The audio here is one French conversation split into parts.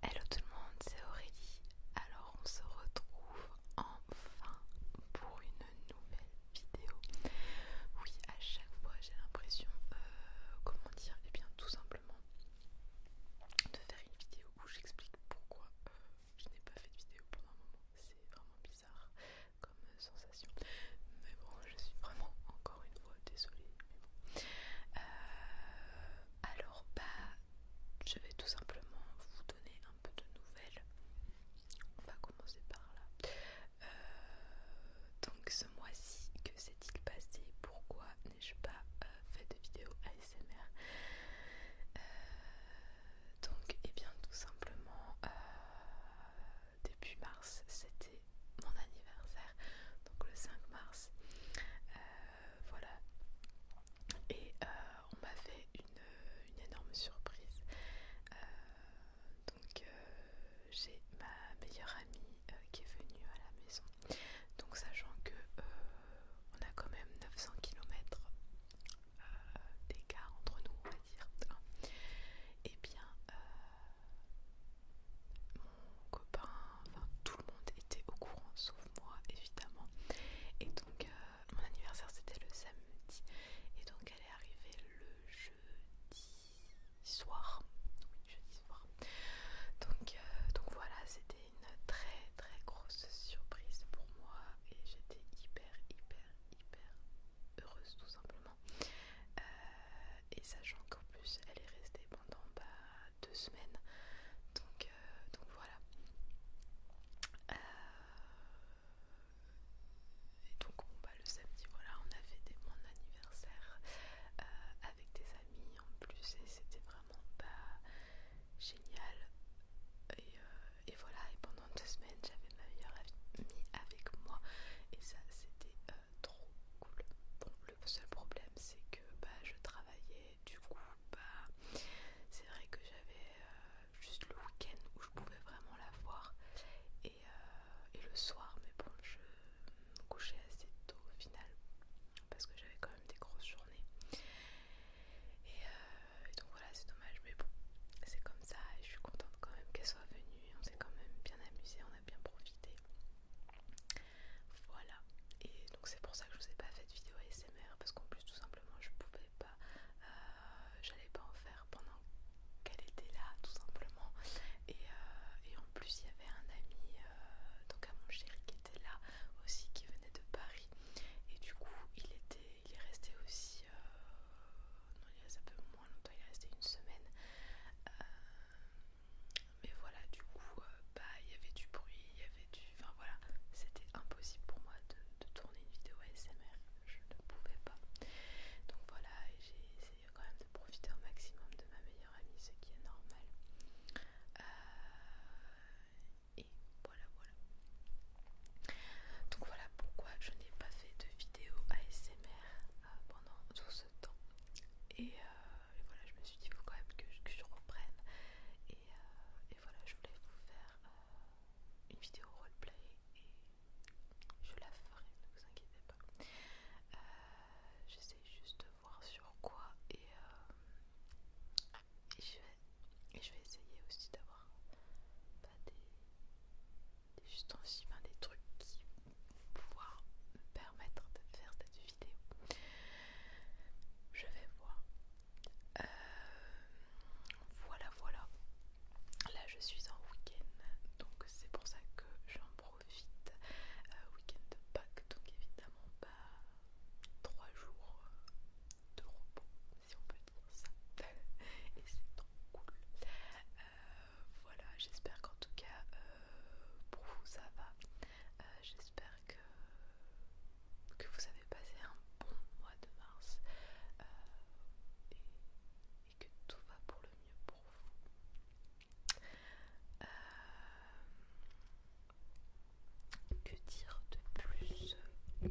Hello tout le monde, c'est Aurélie. Alors on se retrouve enfin pour une nouvelle vidéo. Oui, à chaque fois j'ai l'impression, euh, comment dire, et eh bien tout simplement de faire une vidéo où j'explique pourquoi euh, je n'ai pas fait de vidéo pendant un moment. C'est vraiment bizarre comme sensation. Mais bon, je suis vraiment encore une fois désolée. Euh, alors, bah, je vais tout simplement vous donner un peu de nouvelles. On va commencer par là. Euh, donc ce mois-ci, que s'est-il passé Pourquoi n'ai-je pas euh, fait de vidéo ASMR donc, et eh bien tout simplement, euh, début mars, c'était mon anniversaire, donc le 5 mars. Euh, voilà. Et euh, on m'a fait une, énorme surprise. donc, j'ai ma meilleure amie qui est venue à la maison. Donc, sachant que on a quand même 900 km l'écart d'écart entre nous, on va dire. Et eh bien, euh, mon copain, enfin tout le monde était au courant, sauf moi évidemment. Et donc, euh, mon anniversaire c'était le samedi. Et donc, elle est arrivée le jeudi soir. Oui, jeudi soir. Donc, euh, donc voilà, c'était une très très grosse surprise pour moi et j'étais hyper hyper hyper heureuse tout simplement. Euh, et sachant qu'en plus elle est restée pendant pas bah, deux semaines. Donc, euh, donc voilà. Euh, et donc bon, bah, le samedi voilà on a fêté mon anniversaire avec des amis en plus et c'était vraiment pas bah, génial. Et, et voilà, et pendant deux semaines, j'avais ma meilleure amie avec moi, et ça, c'était euh, trop cool. Bon, le seul problème, c'est que bah, je travaillais, du coup, bah, c'est vrai que j'avais euh, juste le week-end où je pouvais vraiment la voir, et, euh, le soir, mais bon, je couchais assez tôt au final, parce que j'avais quand même des grosses journées. Et, et donc voilà, c'est dommage, mais bon, c'est comme ça. Et je suis contente quand même qu'elle soit venue. On s'est quand même bien amusé, on a bien profité. Voilà. Et donc c'est pour ça que je vous ai pas fait de vidéo ASMR parce qu'en plus tout simplement je pouvais pas, euh, j'allais pas en faire pendant qu'elle était là tout simplement. Et, euh, en plus il y avait un ami, euh, donc à mon chéri qui était là aussi, qui venait de Paris. Et du coup il était, il est resté aussi non, il reste un peu moins longtemps, il est resté une semaine. Euh, mais voilà, du coup, euh, bah, il y avait du bruit, il y avait du. Enfin voilà, c'était impossible pour moi de, tourner une vidéo ASMR, je ne pouvais pas. Donc voilà, j'ai essayé quand même de profiter au maximum de ma meilleure amie, ce qui est normal. Euh, et voilà, voilà. Donc voilà pourquoi je n'ai pas fait de vidéo ASMR euh, pendant tout ce temps. Euh, et, voilà, je me suis dit, il faut quand même que je, reprenne. Euh, et, voilà, je voulais vous faire une vidéo roleplay et je la ferai, ne vous inquiétez pas. J'essaie juste de voir sur quoi et je vais essayer aussi d'avoir des, des trucs qui vont pouvoir me permettre de faire cette vidéo. Je vais voir. Euh, voilà, voilà. Là, je suis en week-end, donc c'est pour ça que j'en profite. Euh, week-end de Pâques, donc évidemment pas trois 3 jours de repos si on peut dire ça. Et c'est trop cool. Euh, voilà, j'espère qu'en tout cas euh, pour vous ça va. Euh, j'espère que, que vous avez passé un bon mois de mars et, que tout va pour le mieux pour vous. que dire de plus que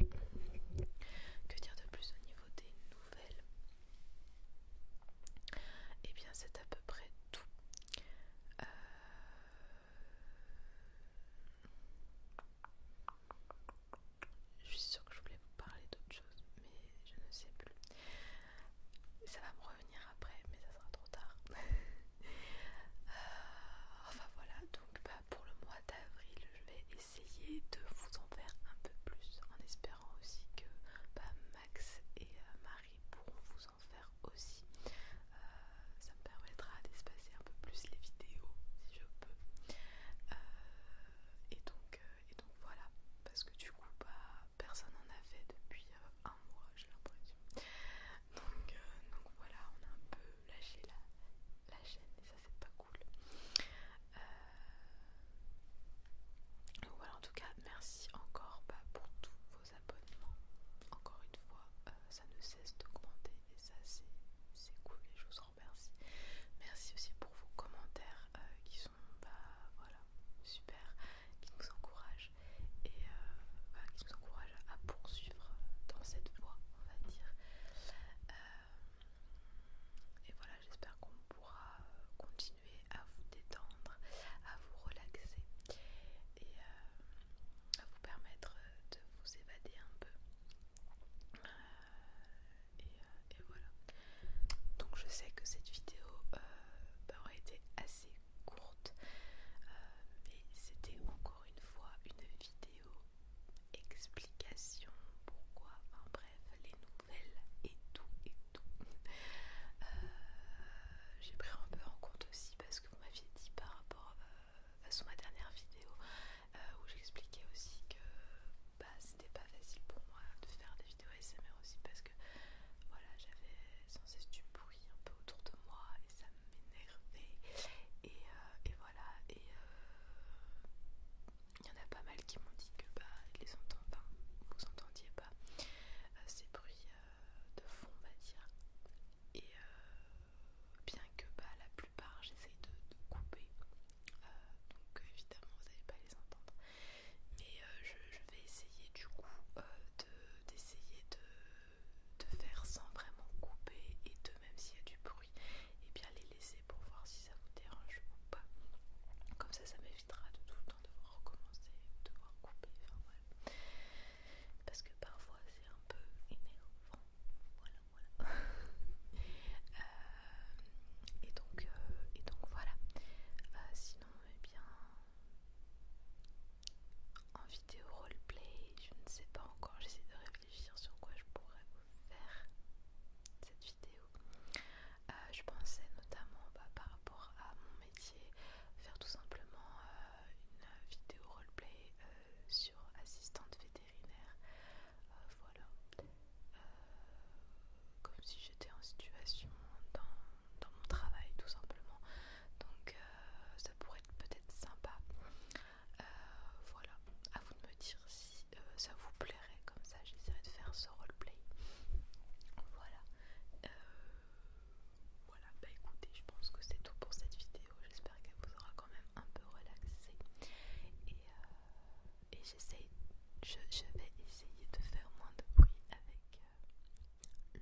dire de plus au niveau des nouvelles et eh bien c'est à peu près tout euh, je suis sûre que je voulais vous parler d'autre chose mais je ne sais plus ça va me revenir après mais ça sera trop tard euh, enfin voilà donc bah, pour le mois d'avril je vais essayer de vous en faire un peu plus en espérant aussi que bah, Max et euh, Marie pourront vous en faire aussi. Euh, ça me permettra d'espacer un peu plus les vidéos si je peux. Euh, et, donc, et donc voilà, parce que du coup pas bah, personne n'en a fait depuis un mois j'ai l'impression. donc voilà, on a un peu lâcher la, la chaîne et ça c'est pas cool. Voilà euh, en tout cas merci encore bah, pour tous vos abonnements. Encore une fois, euh, ça ne cesse d'augmenter et ça c'est cool et je vous remercie. Merci aussi pour vos commentaires euh, qui sont bah voilà super, qui nous encouragent et bah, qui nous encouragent à poursuivre dans cette voie on va dire et voilà, j'espère qu'on pourra euh, continuer à vous détendre, à vous relaxer et euh, à vous permettre euh, de vous évader un peu. et, voilà. Donc je sais que cette vidéo bah, aura été assez courte, mais c'était encore une fois une vidéo explication pourquoi, enfin bref, les nouvelles et tout et tout. Euh, j'ai pris un peu en compte aussi parce que vous m'aviez dit par rapport à euh, ma dernière vidéo euh, où j'expliquais aussi que bah, c'était pas facile pour moi de faire des vidéos ASMR aussi parce que voilà j'avais sans cesse du bruit un peu autour de moi et ça m'énervait et voilà voilà et il euh, y en a pas mal qui m'ont dit que bah les pas vous entendiez pas euh, ces bruits euh, de fond on va dire et bien que bah la plupart j'essaye de, couper donc évidemment vous n'allez pas les entendre mais je, vais essayer du coup d'essayer de, de faire sans vraiment couper et de même s'il y a du bruit et eh bien les laisser pour voir si ça vous dérange ou pas. Comme ça, ça m'évitera de tout le temps devoir recommencer, devoir couper, Parce que parfois c'est un peu énervant. Voilà, voilà. Euh, et, donc, euh, et donc voilà. Euh, sinon, et eh bien. En vidéo roleplay, je ne sais pas encore, j'essaie de réfléchir sur quoi je pourrais faire cette vidéo. Euh, je pensais notamment bah, par rapport à mon métier faire tout simplement euh, une vidéo roleplay euh, sur assistante vétérinaire. voilà. comme si j'étais en situation dans, mon travail tout simplement. Donc ça pourrait être peut-être sympa. Euh, voilà, à vous de me dire si euh, ça vous plairait, comme ça j'essaierai de faire ce roleplay. Voilà. Euh, voilà, bah écoutez, je pense que c'est tout pour cette vidéo. J'espère qu'elle vous aura quand même un peu relaxé. Et, j'essaie, je, vais essayer de faire moins de bruit avec le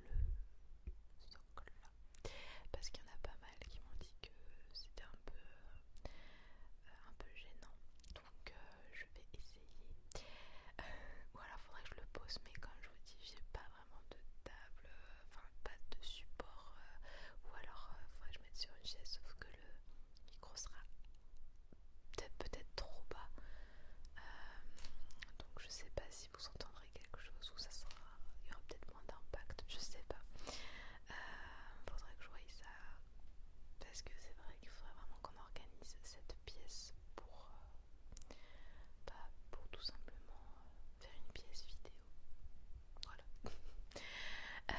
socle là. Parce qu'il y en a pas mal qui m'ont dit que c'était un peu euh, un peu gênant donc euh, je vais essayer voilà euh, ou alors faudrait que je le pose mais comme je vous dis j'ai pas vraiment de table enfin pas de support ou alors faudrait que je mette sur une chaise sauf que le micro sera peut-être peut-être trop bas donc je sais pas si vous entendrez quelque chose ou ça sera il y aura peut-être moins d'impact je sais pas euh, faudrait que je voie ça parce que c'est vrai qu'il faudrait vraiment qu'on organise cette pièce pour, euh, pour tout simplement euh, faire une pièce vidéo. Voilà.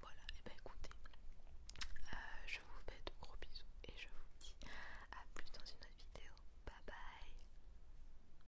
voilà, et eh bah ben, écoutez, je vous fais de gros bisous et je vous dis à plus dans une autre vidéo. Bye bye